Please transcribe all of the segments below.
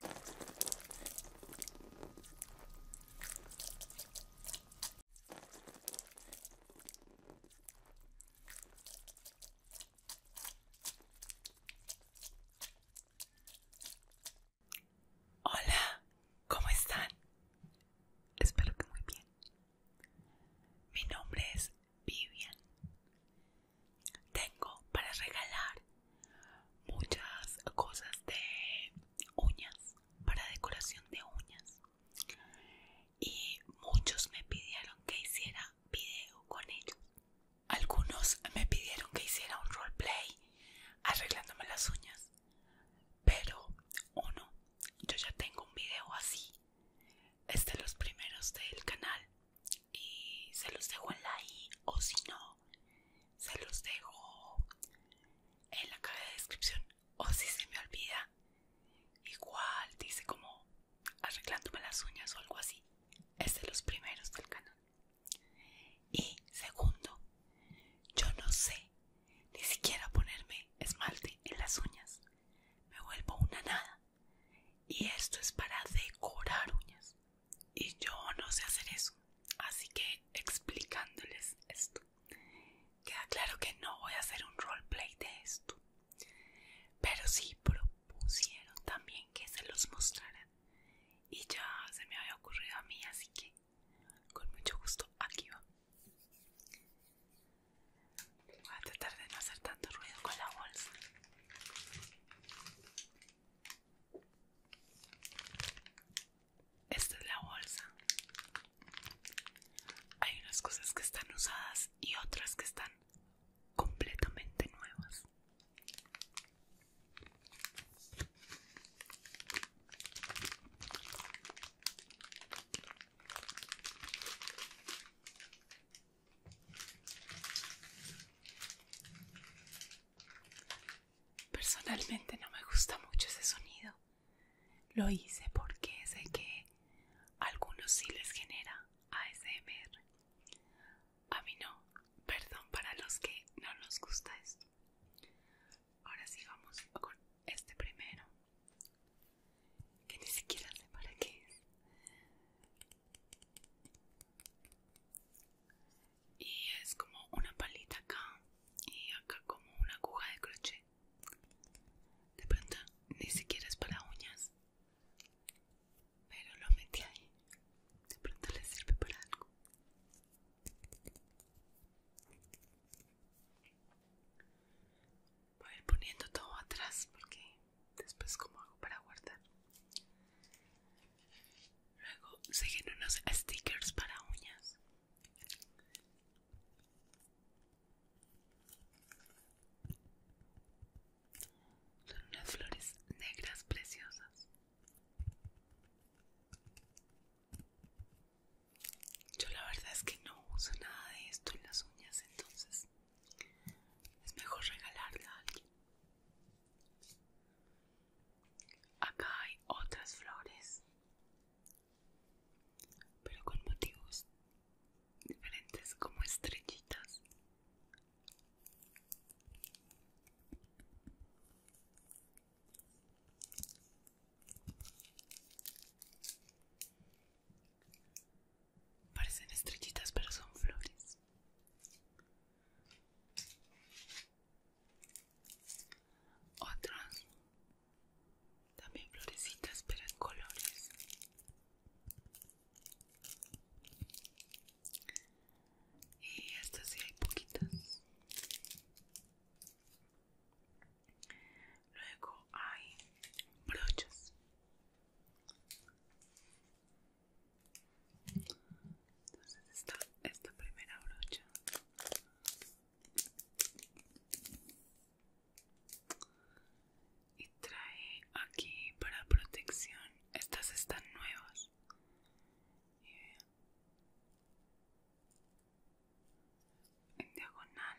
Hola, ¿cómo están? Espero que muy bien. Mi nombre es Vivian tengo para regalar muchas cosas de uñas, para decoración de uñas. Y muchos me pidieron que hiciera video con ellos. Algunos me pidieron que hiciera un roleplay arreglándome las uñas. Pero uno, yo ya tengo un video así. Es de los primeros del canal y se los dejo en la i o si no se los dejo en la caja de descripción o si se me olvida igual dice como arreglándome las uñas o algo así es de los primeros del canal y segundo yo no sé ni siquiera ponerme esmalte en las uñas me vuelvo una nada y esto es para decorar uñas y yo no sé hacer eso. Así que explicándoles esto, queda claro que no voy a hacer un roleplay de esto. Pero sí propusieron también que se los mostraran Y ya se me había ocurrido a mí, así que con mucho gusto aquí va. Voy a tratar de no hacer tanto ruido con la bolsa. Esta es la bolsa. Hay unas cosas que están usadas y otras que están completamente nuevas. Personalmente no me gusta mucho ese sonido. Lo hice porque sé que a algunos sí les genera ASMR. A mí no. Perdón para los que no nos gusta esto. Ahora sí vamos con este primero. Que ni siquiera sé para qué es y es como una palita acá y acá como una aguja de crochet de pronto ni siquiera es para uñas pero lo metí ahí de pronto le sirve para algo voy a ir poniendo todo atrás porque después como hago para guardar Luego siguen unos stickers para uñas. Son unas flores negras preciosas. Yo la verdad es que no uso nada de esto en las uñas, entonces es mejor regalarla a alguien. Acá hay otras flores, pero con motivos diferentes como estrellitas. Parecen estrellitas, pero son flores. Otras, también florecitas pero en colores. Y estas sí hay poquitas. Luego hay brochas. Entonces está esta primera brocha. Y trae aquí para protección. Estas están nuevas. en diagonal.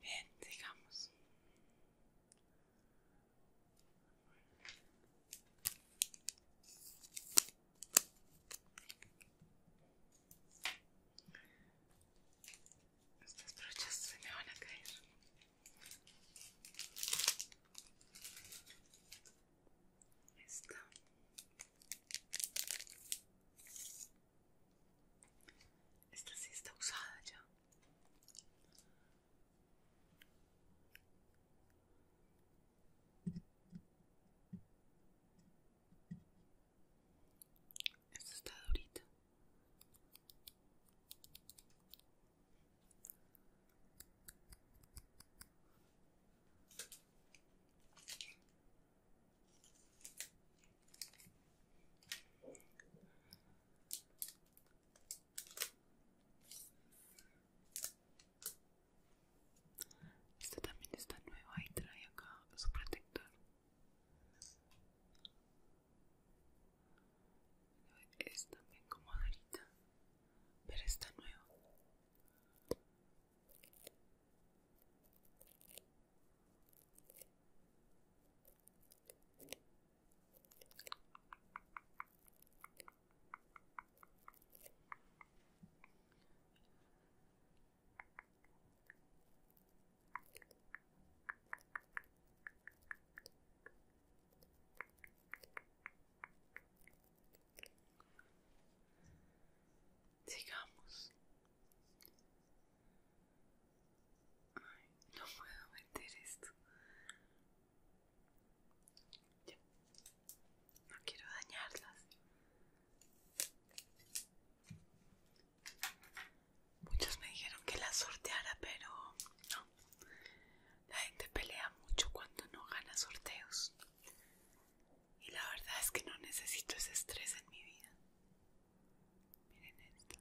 Bien, digamos estas brochas se me van a caer. Esta. Esta sí está usada ya. Esta está durita. Este también está nueva y trae acá su protector es también como Dorita, pero está nuevo. Sigamos. no puedo meter esto. No quiero dañarlas. Muchos me dijeron que la sorteara, pero no. La gente pelea mucho cuando no gana sorteos. Y la verdad es que no necesito ese estrés en mi vida. Miren esto.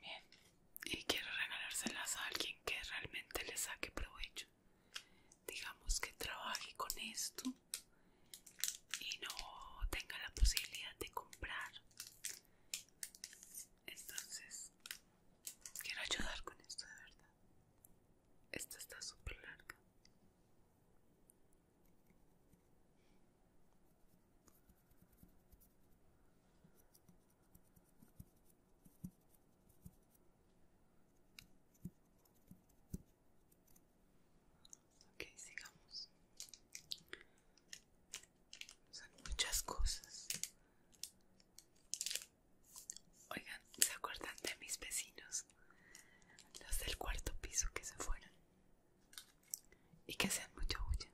Bien, y quiero regalárselas a alguien que realmente le saque provecho. Digamos que trabaje con esto y no tenga la posibilidad de comprar. Entonces, quiero ayudar con esto de verdad. Esta está súper larga. Ok, sigamos. Son muchas cosas. Oigan, ¿se acuerdan de mis vecinos? Los del cuarto piso que se fueron y que hacían mucha bulla,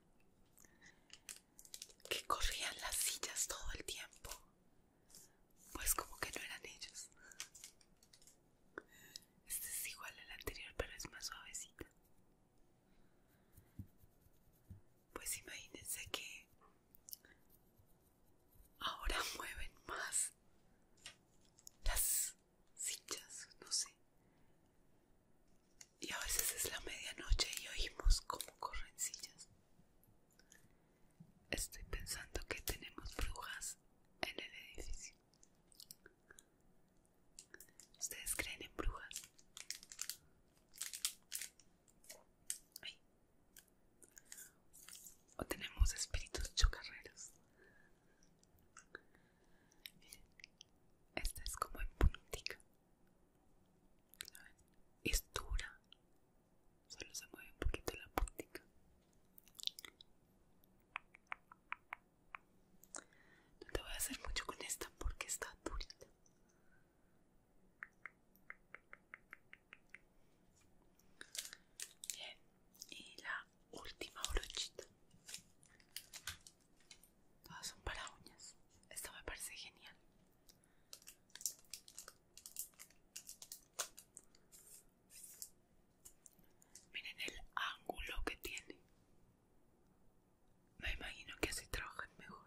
que corrían las sillas todo el tiempo, pues como que no eran ellos. Este es igual al anterior, pero es más suavecita. Pues imagínense que ahora mueven más las sillas, no sé y a veces es la medianoche y oímos como corren sillas. Estoy pensando que tenemos brujas en el edificio. ¿Ustedes creen en brujas? ¿O tenemos espíritus chocarreros? Esta es como en puntica. Es dura. Solo se mueve un poquito la puntica. No te voy a hacer mucho con esta porque está dura Bien, y la última brochita. Todas son para uñas. Esto me parece genial. Miren el ángulo que tiene. Me imagino que así trabajan mejor.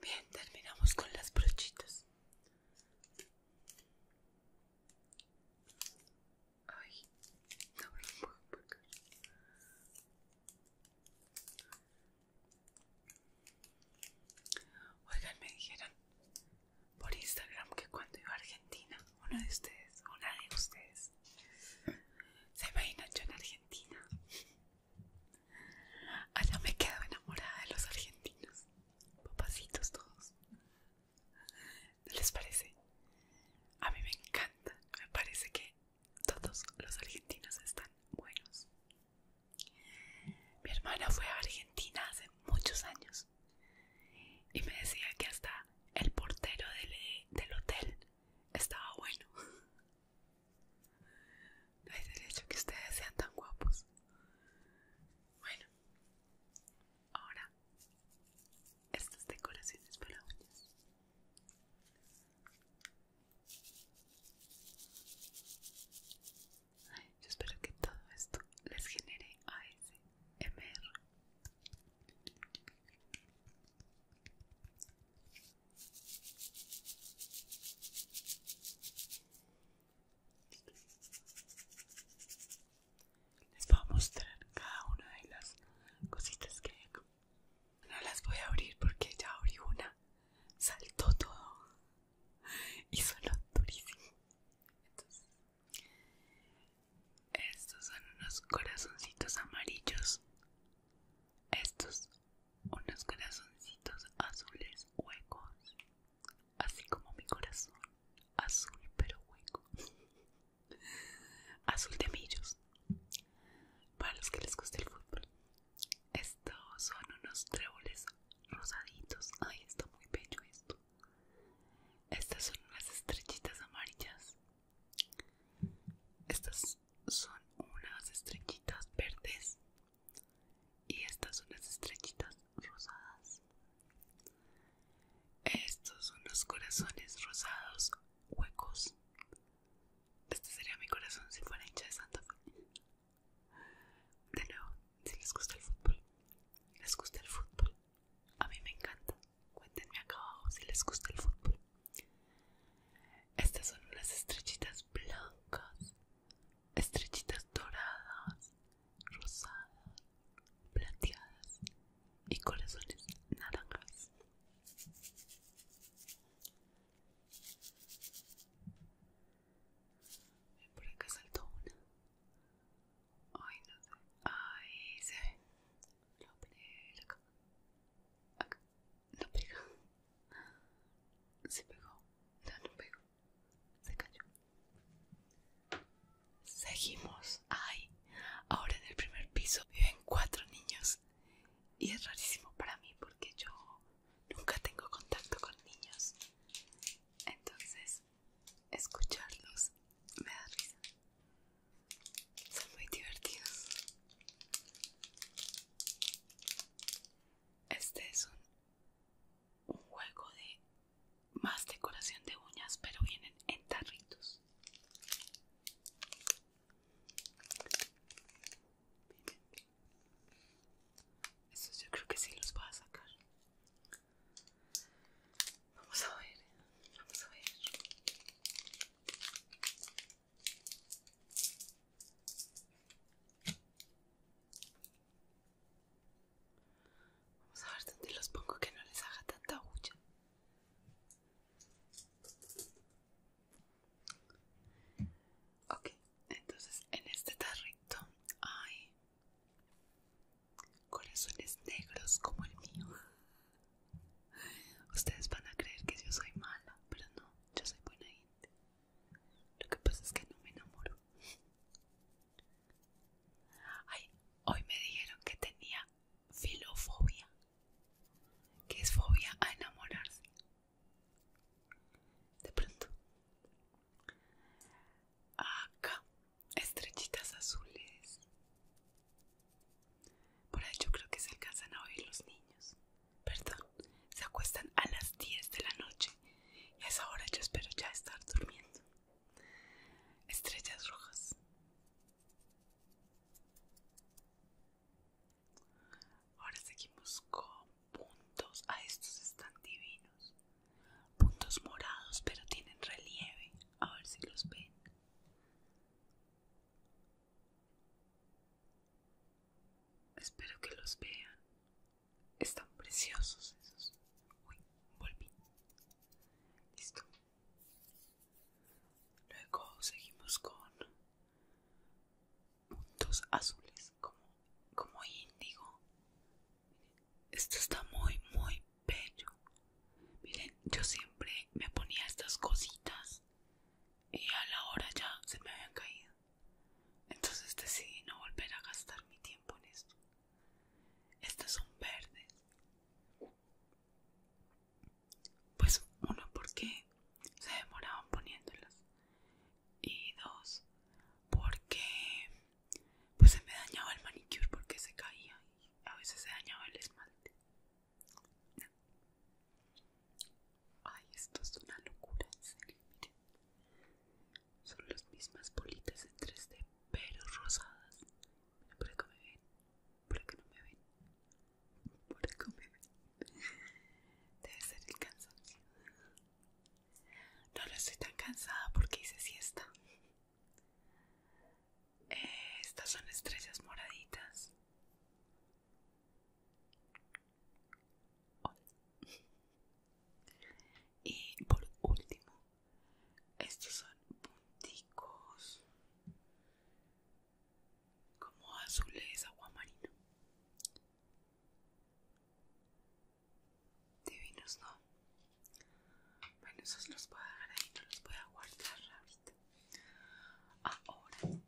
Bien, terminamos con las brochitas. Oigan, me dijeron por Instagram que cuando iba a Argentina, uno de ustedes, una de ustedes, se imagina yo en Argentina. Allá ah, me quedo enamorada de los argentinos, papacitos todos. les parece? A mí me encanta, me parece que todos los argentinos están buenos. Mi hermana fue a Argentina hace muchos años y me decía que hasta el portero del, hotel estaba bueno. No hay derecho que ustedes sean tan guapos. Bueno, ahora estas decoraciones para uñas. Yo espero que todo esto les genere ASMR. Les voy a mostrar cada una de las cositas que No las voy a abrir porque ya abrí una. Saltó todo. y son durísimo. estos son unos corazoncitos amarillos. Estos, unos corazoncitos azules huecos. Así como mi corazón. Azul pero hueco. Azul de millos. Para los que les guste el fútbol. Estos son unos tréboles rosaditos. Ay, está muy bello esto. Estas son unas estrellitas amarillas. Estas son unas estrechitas verdes. Y estas son unas estrechitas rosadas. Estos son los corazones rosados huecos. Este sería mi corazón si fuera hincha de Santa Fe. De nuevo, si les gusta el fútbol, les gusta el fútbol. A mí me encanta. Cuéntenme acá abajo si les gusta el fútbol. Estas son unas estrechitas blancas, estrechitas doradas, rosadas, plateadas y corazones naranjas. Por acá saltó una. Ay, no sé. Ay, se ve. Lo No pega. Se pegó. No, no pegó. Se cayó. Seguimos. Ay, ahora en el primer piso viven cuatro niños. Y es rarísimo para mí porque yo nunca tengo contacto con niños. Entonces, escucharlos me da risa. Son muy divertidos. Este es un, juego de más decoración de uñas, pero vienen en tarritos eso yo creo que sí los voy a sacar. Vamos a ver, vamos a ver. Vamos a ver dónde los pongo que no les haga tanta huya Ok, entonces en este tarrito hay corazones negros como el mío. Ustedes van a creer que yo soy mala, pero no, yo soy buena gente. Lo que pasa es que no me enamoro. Ay, hoy me dijeron que tenía filofobia, que es fobia a enamorarse. De pronto, Acá, estrellitas azules. Por ahí yo creo que se alcanzan a oír los niños. Perdón, se acuestan a las 10 de la noche y a esa hora yo espero ya estar durmiendo. Estrellas rojas. Ahora seguimos con puntos a ah, estos están divinos puntos morados pero tienen relieve a ver si los ven espero que los vean están preciosos esos uy volví listo luego seguimos con puntos azules como como índigo esto está muy muy bello miren yo siempre me ponía estas cositas y a la hora ya se me habían caído entonces decidí no volver a gastar mi tiempo en esto estas son verdes pues uno porque se demoraban poniéndolas y dos porque pues se me dañaba el manicure porque se caía y a veces se dañaba el esmalte ay esto es una locura en serio miren son las mismas bolitas en 3D pero rosadas Mira, por acá me ven por acá no me ven por acá me ven debe ser el cansancio no, la estoy tan cansada porque hice siesta. Eh, estas son estrellas moraditas. Y por último, estos son punticos como azules marina. Divinos, ¿no? Bueno, esos los voy a dejar no los voy guardar ahorita. Ahora,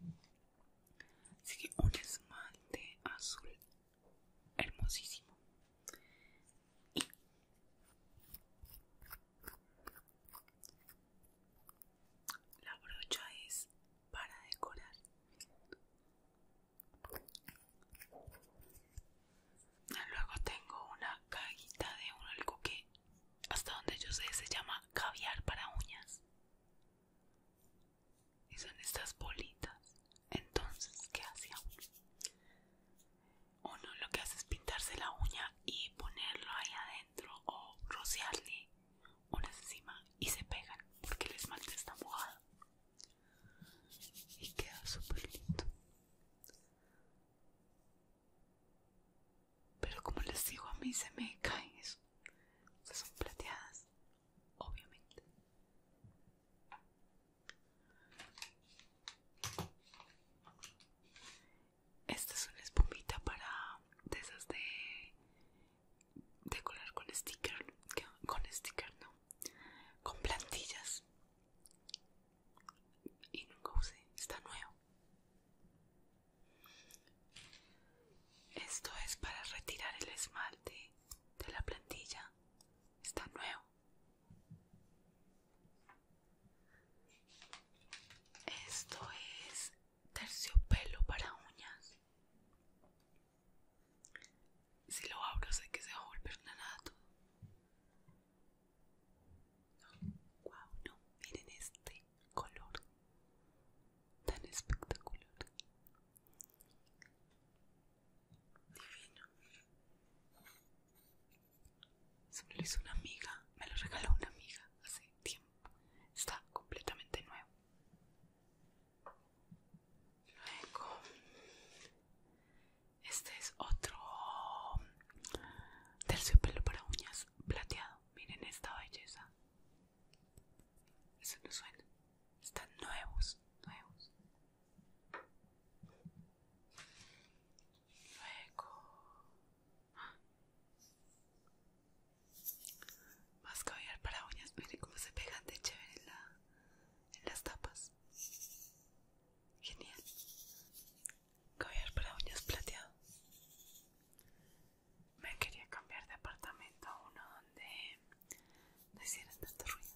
sigue un esmalte azul hermosísimo. Y la brocha es para decorar Luego tengo una cajita de un algo que hasta donde yo sé se llama caviar para uñas. Y son estas bolitas. Entonces, ¿qué hacemos? uno? lo que hace es pintarse la uña y ponerlo ahí adentro o rociarle una encima y se pegan porque el esmalte está mojado y queda súper lindo pero como les digo a mí se me caen eso son plateadas obviamente esta es una espumita para de esas de Decorar con sticker, con sticker no, con plantillas y está nuevo. Esto es para retirar el esmalte de la plantilla, está nuevo. Esto es terciopelo para uñas. Si lo abro sé que se va a volver nada todo. no, miren este color tan espectacular. Divino. Se me lo hizo una amiga, me lo regaló una amiga hace tiempo. Está completamente nuevo. Luego, este es otro Terciopelo para uñas plateado. Miren esta belleza. Eso no suena. Están nuevos, nuevos. Luego, más para uñas. Miren cómo se pegan de chévere la, en las tapas. Genial. Caviar para uñas plateado. Me quería cambiar de apartamento a uno donde no hicieran tanto ruido.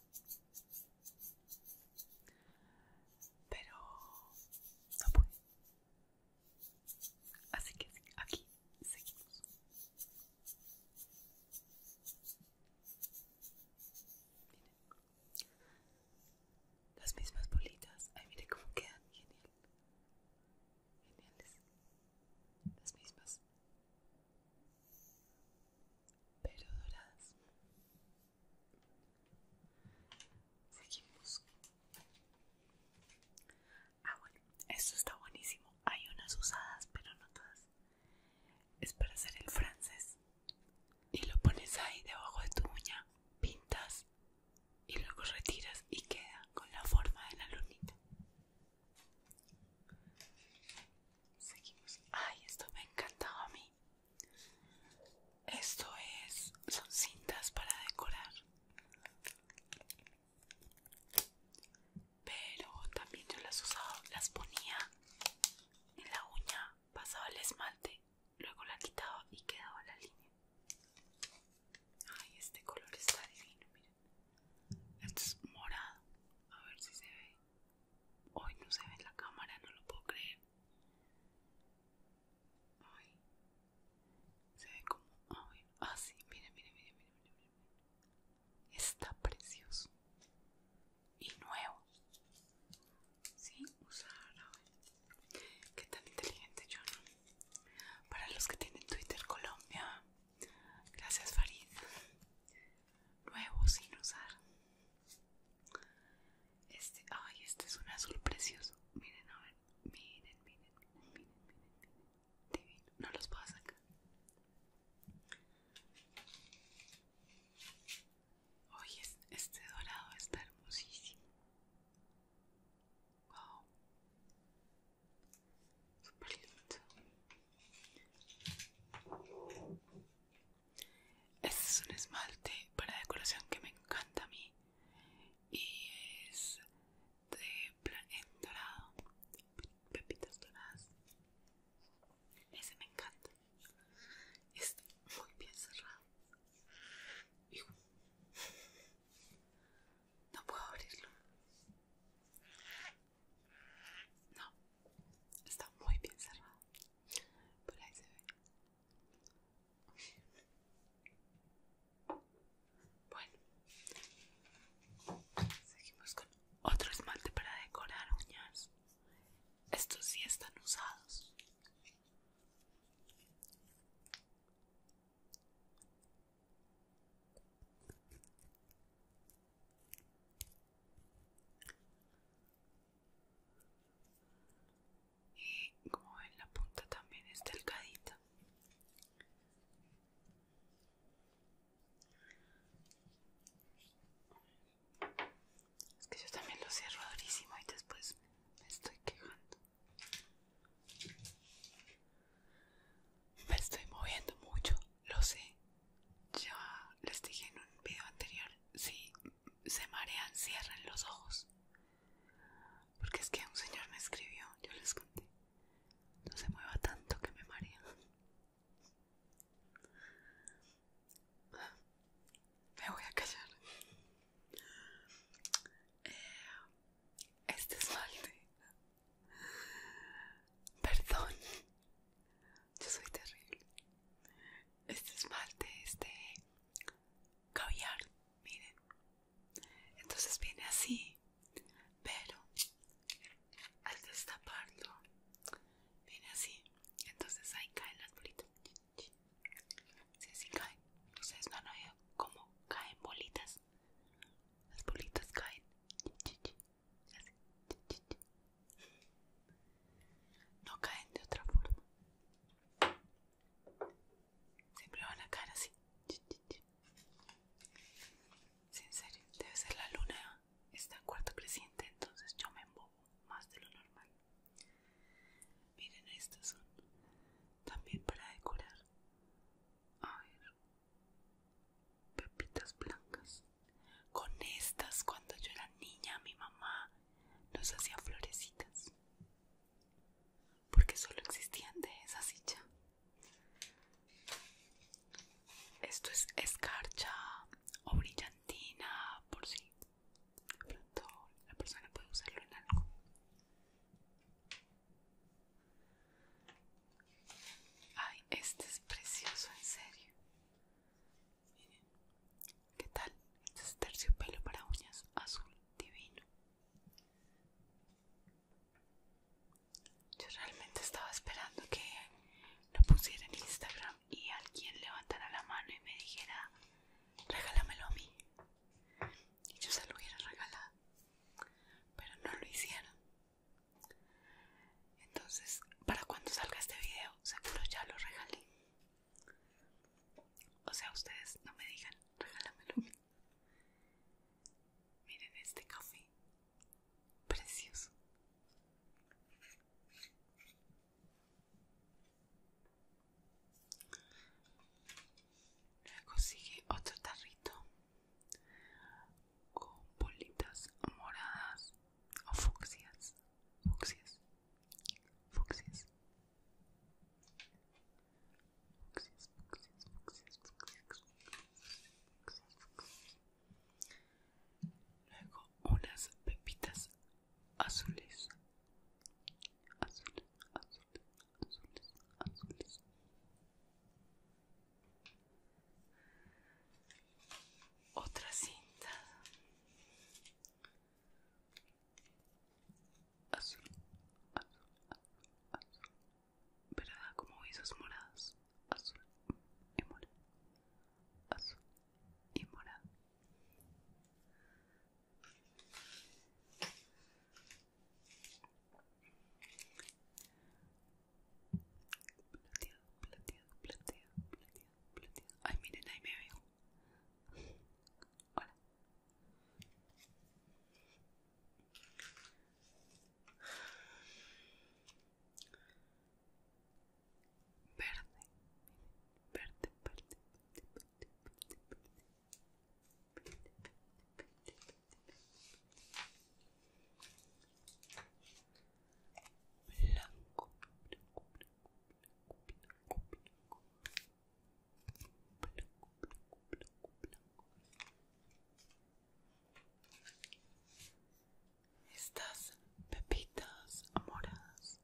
Pero no pude. Así que aquí seguimos. Las mismas bolitas. Ay, mire cómo quedan. Genial. Geniales. Las mismas. Pero doradas. Seguimos. Ah, bueno. Esto está buenísimo. Hay unas usadas, pero no todas es para hacer el francés y lo pones ahí debajo de tu uña, pintas y luego retiras y queda con la forma de la lunita. Seguimos. Ay, esto me ha encantado a mí. Esto es, son cintas para decorar pero también yo las usaba, las ponía en la uña, pasaba el esmalte, luego la quitaba y quedaba la línea. Ay, este color está divino, miren. Este es morado. A ver si se ve. Hoy no se ve en la cámara, no lo puedo creer. Ay. Se ve como. así Ah, miren, miren, miren, miren, miren, miren está precioso y nuevo. sin usar Qué tan inteligente yo, Para los que tienen Twitter Colombia, gracias Farid. Nuevo sin usar. Este, este, es un azul precioso. Miren, a ver, miren, miren, miren, miren, miren, No los puedo sacar. Oye, este dorado está hermosísimo. Wow. Super lindo. Este es un esmalte para decoración que me encanta a mí. Y es de plan dorado. Pepitas doradas. Ese me encanta. Está muy bien cerrado. No puedo abrirlo. No, está muy bien cerrado. Por ahí se ve. Bueno, seguimos con otro esmalte para decorar uñas. Estos sí están usados. Y como ven la punta también es delgadita. Es que yo también lo cierro durísimo y después me estoy quejando. Me estoy moviendo mucho, lo sé. Ya les dije en un video anterior, si se marean, cierren los ojos. Porque es que un señor me escribió, yo les conté. No se mueva tanto que me marean. Me voy a callar. Este este esmalte. Perdón. Yo soy terrible. Este es es de caviar, miren. Entonces viene así pero al destaparlo viene así entonces ahí caen las bolitas si sí, sí caen ustedes no han oído como caen bolitas las bolitas caen no caen de otra forma siempre van a caer así Sí, en serio, debe ser la luna está cuarta cuarto creciente, entonces yo me embobo más de lo normal. Miren, estas son también para decorar. A ver, pepitas blancas. Con estas, cuando yo era niña, mi mamá nos hacía florecitas. Porque solo existían de esa silla esto es escarcha o brillantina, por si pronto la persona puede usarlo en algo. Ay, este es precioso, en serio. Miren, ¿qué tal? Este es terciopelo para uñas azul divino. Yo realmente estaba esperando que lo pusiera en Instagram y alguien levantara la mano y me dijera, regálamelo a mí. Y yo se lo hubiera regalado. Pero no lo hicieron. Entonces, para cuando salga este video, seguro ya lo regalé. O sea, ustedes no me digan, regálamelo a mí. Miren este café. Precioso. Luego otro tarrito con bolitas moradas o Luego unas pepitas azules. Azules, azules, azules, azules. Otra cinta. Azul, azul, azul, azul. ¿Verdad? Como esos morados azul y morado, azul y morado. Plateado, plateado, plateado, plateado, plateado. Ay, miren, ahí me veo. Hola verde, verde, verde, verde, verde, verde, estas pepitas moras.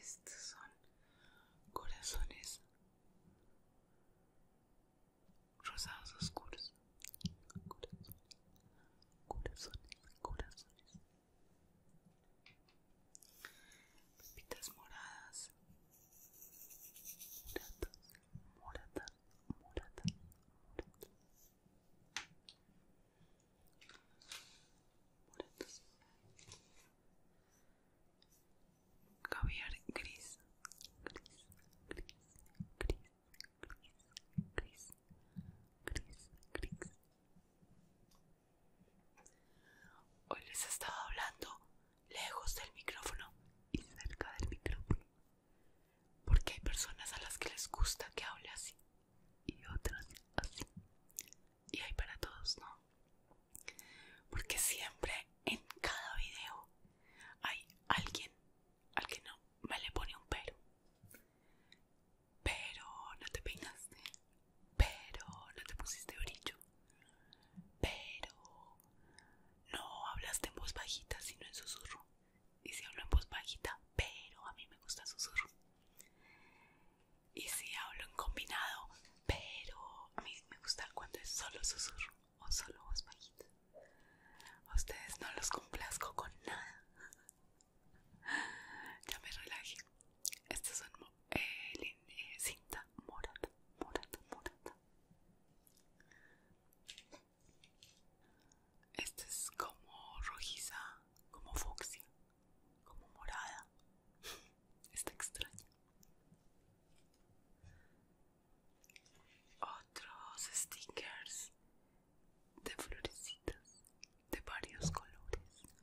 Estos son corazones rosados oscuros. corazones, corazones pepitas moradas, moratas, moratas, morata, caviar gris, gris, gris, gris, gris, gris, gris, gris, Hoy les estaba hablando lejos del micrófono y cerca del micrófono. Porque hay personas a las que les gusta que hable así y otras así. Y hay para todos, ¿no? Porque siempre en cada video hay alguien al que no me le pone un pero pero no te peinaste, pero no te pusiste brillo, pero no hablaste en voz bajita sino en susurro. Y si hablo en voz bajita, pero a mí me gusta susurro. Y si hablo en combinado, pero a mí me gusta cuando es solo susurro o solo voz bajita. ustedes no los complazco con nada. ya me relaje estas es el eh, eh, cinta morada, morada, morada. Esta es como rojiza, como fucsia, como morada. Está extraña. Otros stickers de florecitas de varios colores,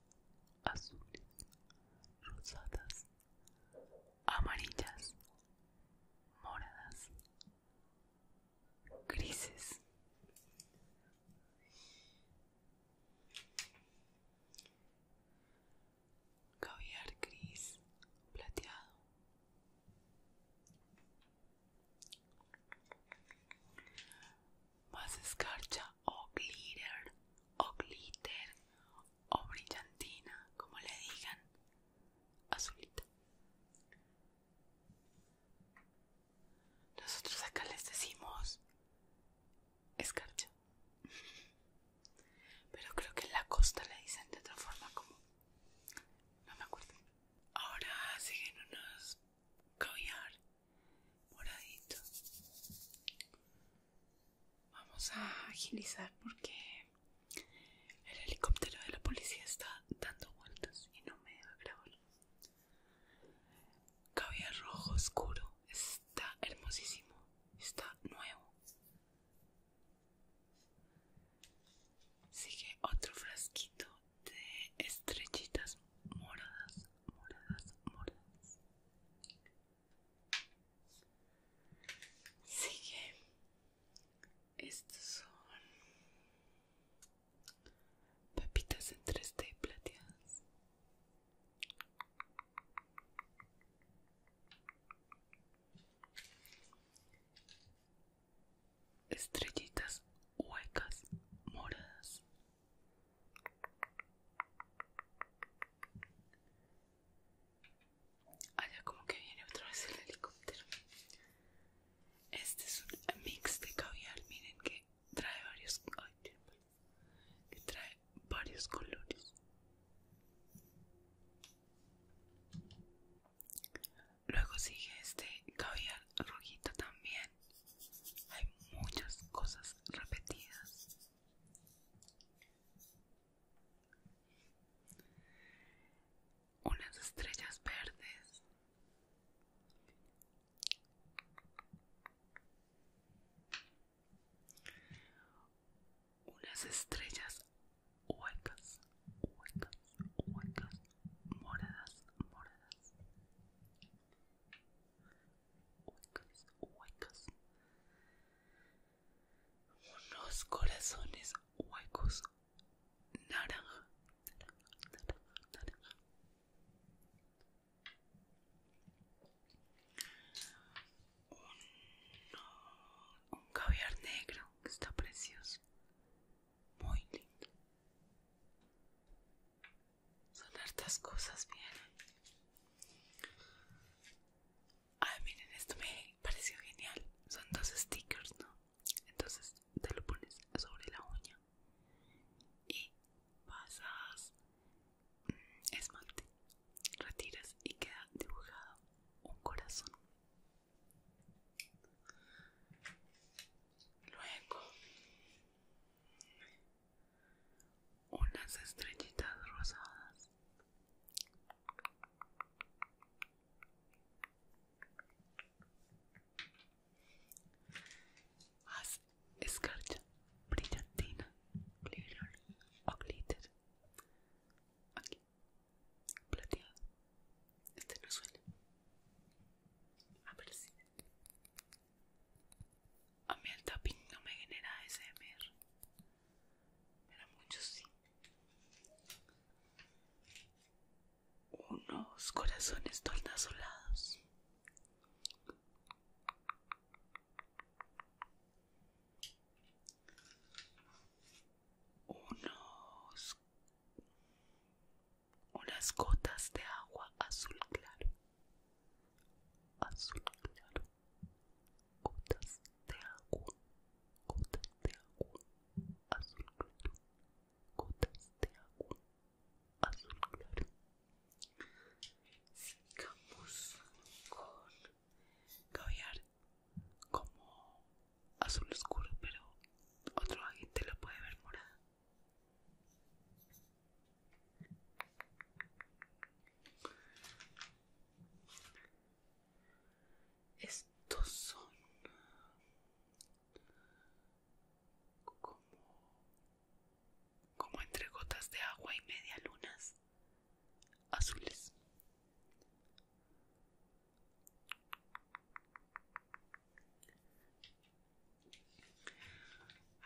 azules, rosadas, amarillas, moradas, grises. Caviar gris plateado más escarcha o glitter o glitter o brillantina como le digan azulita nosotros acá les decimos escarcha pero creo que en la costa le dicen de otra forma como no me acuerdo ahora siguen unos caviar moradito vamos a agilizar porque el helicóptero de la policía está dando vueltas y no me debe grabar cabello rojo oscuro está hermosísimo está nuevo sigue otro frasquito de estrellitas moradas, moradas, moradas. Sigue. Estos son papitas en 3D plateadas estrellitas huecas moradas. Allá ah, como que viene otra vez el helicóptero. Este es un mix de caviar, miren que trae varios, que trae varios colores. Luego sigue este caviar rojito también hay muchas cosas repetidas unas estrellas verdes unas estrellas huecas, huecas, huecas, moradas, moradas huecos huecos unos corazones huecos, naranja, naranja, naranja, naranja. un caviar negro que está precioso muy lindo. Son hartas cosas, vienen. ah miren, esto me pareció genial. Son dos stickers, ¿no? Entonces te lo pones sobre la uña y pasas mm, esmalte, retiras y queda dibujado un corazón. Luego unas estrellitas rosadas haz escarcha brillantina o glitter aquí plateado este no suena si A mí el tapping no me genera ASMR, pero muchos sí. Unos corazones tornasolados. Unos unas gotas de agua azul claro. Azul claro. Gotas de agua. Gotas de agua. Azul claro. Gotas de agua. Azul claro. Sigamos con caviar como azul oscuro, pero otro agente lo puede ver morado. Estos son como, entre gotas de agua y media lunas azules.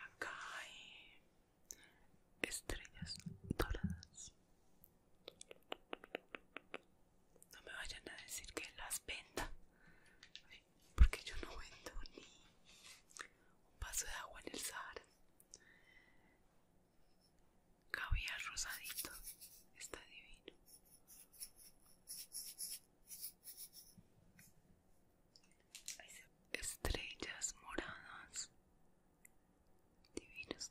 Acá hay estrellas doradas. No me vayan a decir que las venda, porque yo no vendo ni un vaso de agua en el Sahara. Cabía rosadito, está divino. Estrellas moradas. Divinas.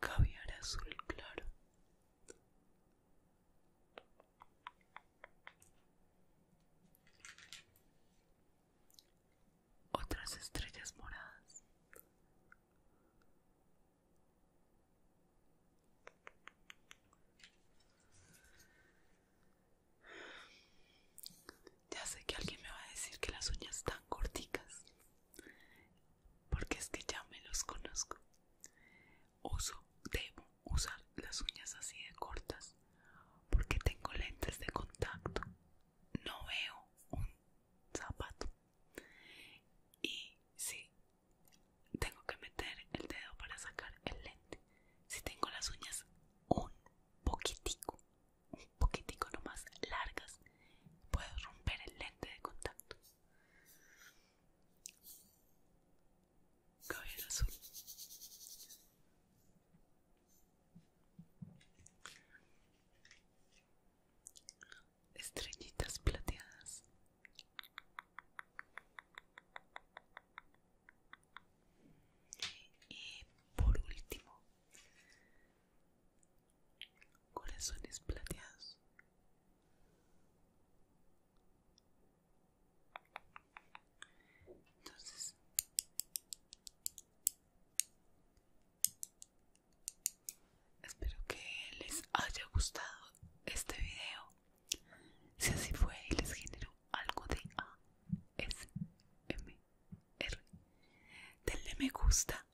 Caviar azul claro. Otras estrellas moradas. Ya sé que alguien me va a decir que las uñas están corticas, porque es que ya me los conozco. Uso, debo usar las uñas así de cortas, porque tengo lentes de contacto, no veo un zapato. Y sí. Tengo que meter el dedo para sacar el lente. Si tengo las uñas un poquitico, un poquitico más largas, puedo romper el lente de contacto. Cabello azul estrellitas plateadas y por último corazones plateados entonces Espero que les haya gustado este video. Si así fue y les generó algo de ASMR, denle me gusta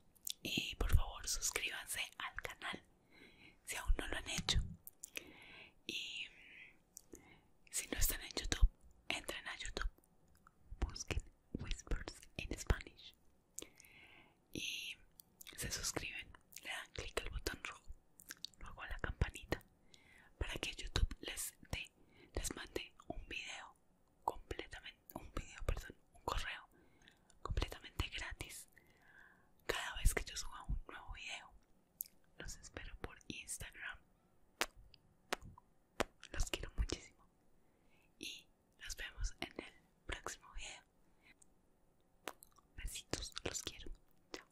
y por favor suscríbanse al canal si aún no lo han hecho. Y si no están en YouTube, entren a YouTube, busquen Whispers in Spanish y se suscriben, le dan clic al botón rojo, luego a la campanita para que YouTube les dé, les mande un video completamente, un video, perdón, un correo completamente gratis cada vez que yo suba un nuevo video. Los espero por Instagram. Los quiero muchísimo. Y nos vemos en el próximo video. Besitos, los quiero. Chao.